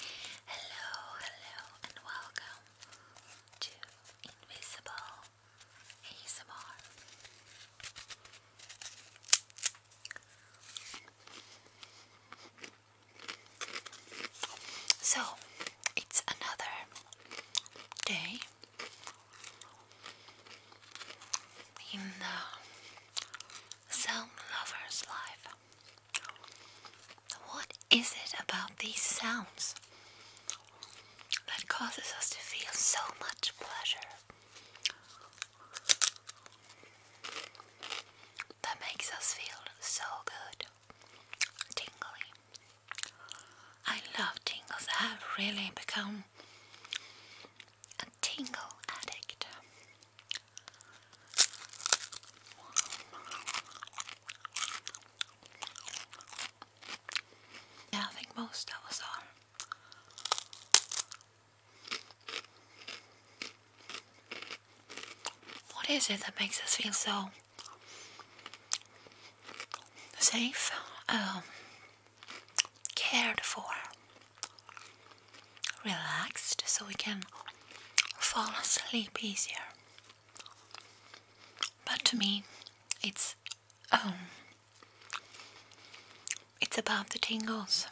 Hello, hello, and welcome to Invisible ASMR. So, it's another day in the sound lover's life. What is it about these sounds that causes us to feel so much pleasure? That makes us feel so good. Tingly. I love tingles. I have really become a tingle addict. I think most that was all. What is it that makes us feel so safe, um, cared for? relaxed so we can fall asleep easier. But to me, it's um, it's about the tingles.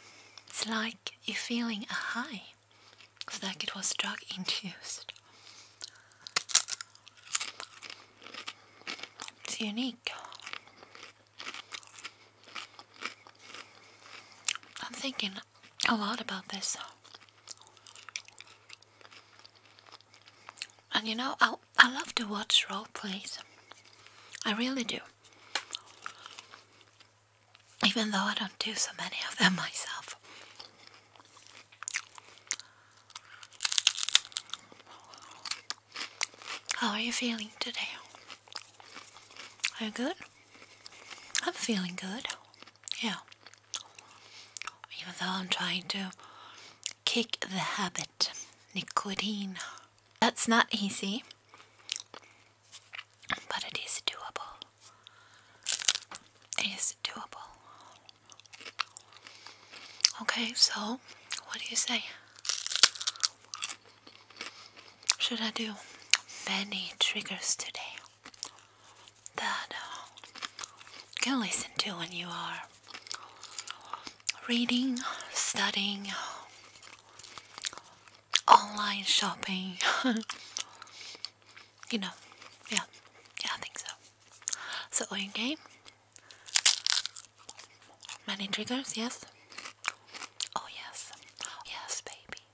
It's like you're feeling a high, it's like it was drug induced. It's unique. I'm thinking a lot about this. And you know, I, I love to watch role plays. I really do. Even though I don't do so many of them myself. How are you feeling today? Are you good? I'm feeling good. Yeah. Even though I'm trying to kick the habit, nicotine. That's not easy, but it is doable. It is doable. Okay, so what do you say? Should I do many triggers today? that uh, can listen to when you are reading, studying, online shopping. you know, yeah, yeah, I think so. So, in game, many triggers, yes. Oh, yes, yes, baby.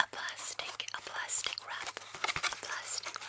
a plastic, a plastic wrap, a plastic wrap.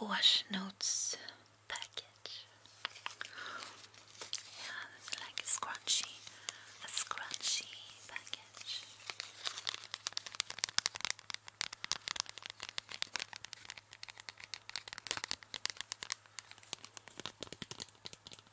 Wash notes package. Yeah, it's like a scrunchy, a scrunchy package.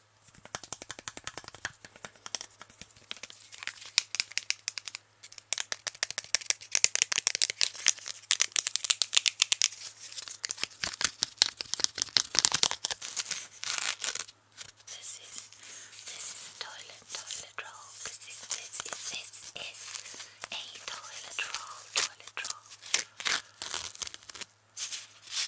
This is this is a toilet toilet roll. This is this is this is a toilet roll toilet roll.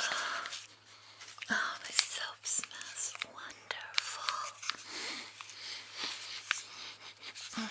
Oh, oh, my soap smells wonderful. Oh.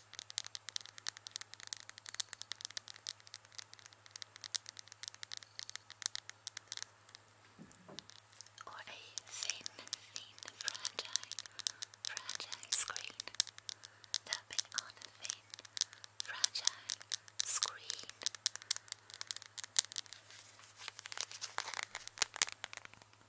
or a thin, thin, fragile, fragile screen. Tapping on a thin, fragile screen.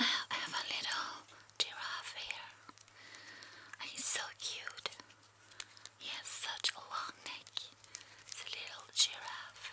I have a little giraffe here. He's so cute. He has such a long neck. It's a little giraffe.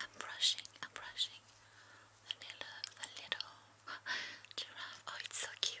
I'm brushing, I'm brushing the little, the little giraffe. Oh, it's so cute.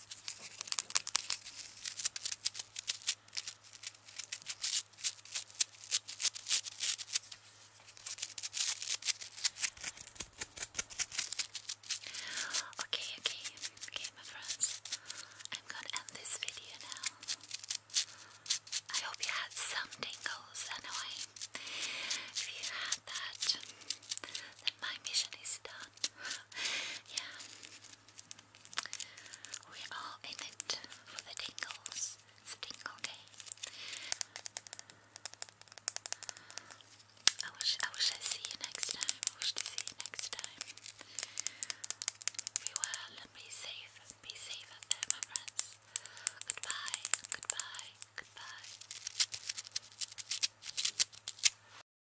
Okay, okay, okay, my friends. I'm gonna end this video now. I hope you had some tingles anyway. If you had that, then my mission is done. yeah, we're in it for the tingles. It's tingle day. I wish I wish I see you next time. I wish to see you next time. Be well and be safe. Be safe out there, my friends. Goodbye. Goodbye. Goodbye.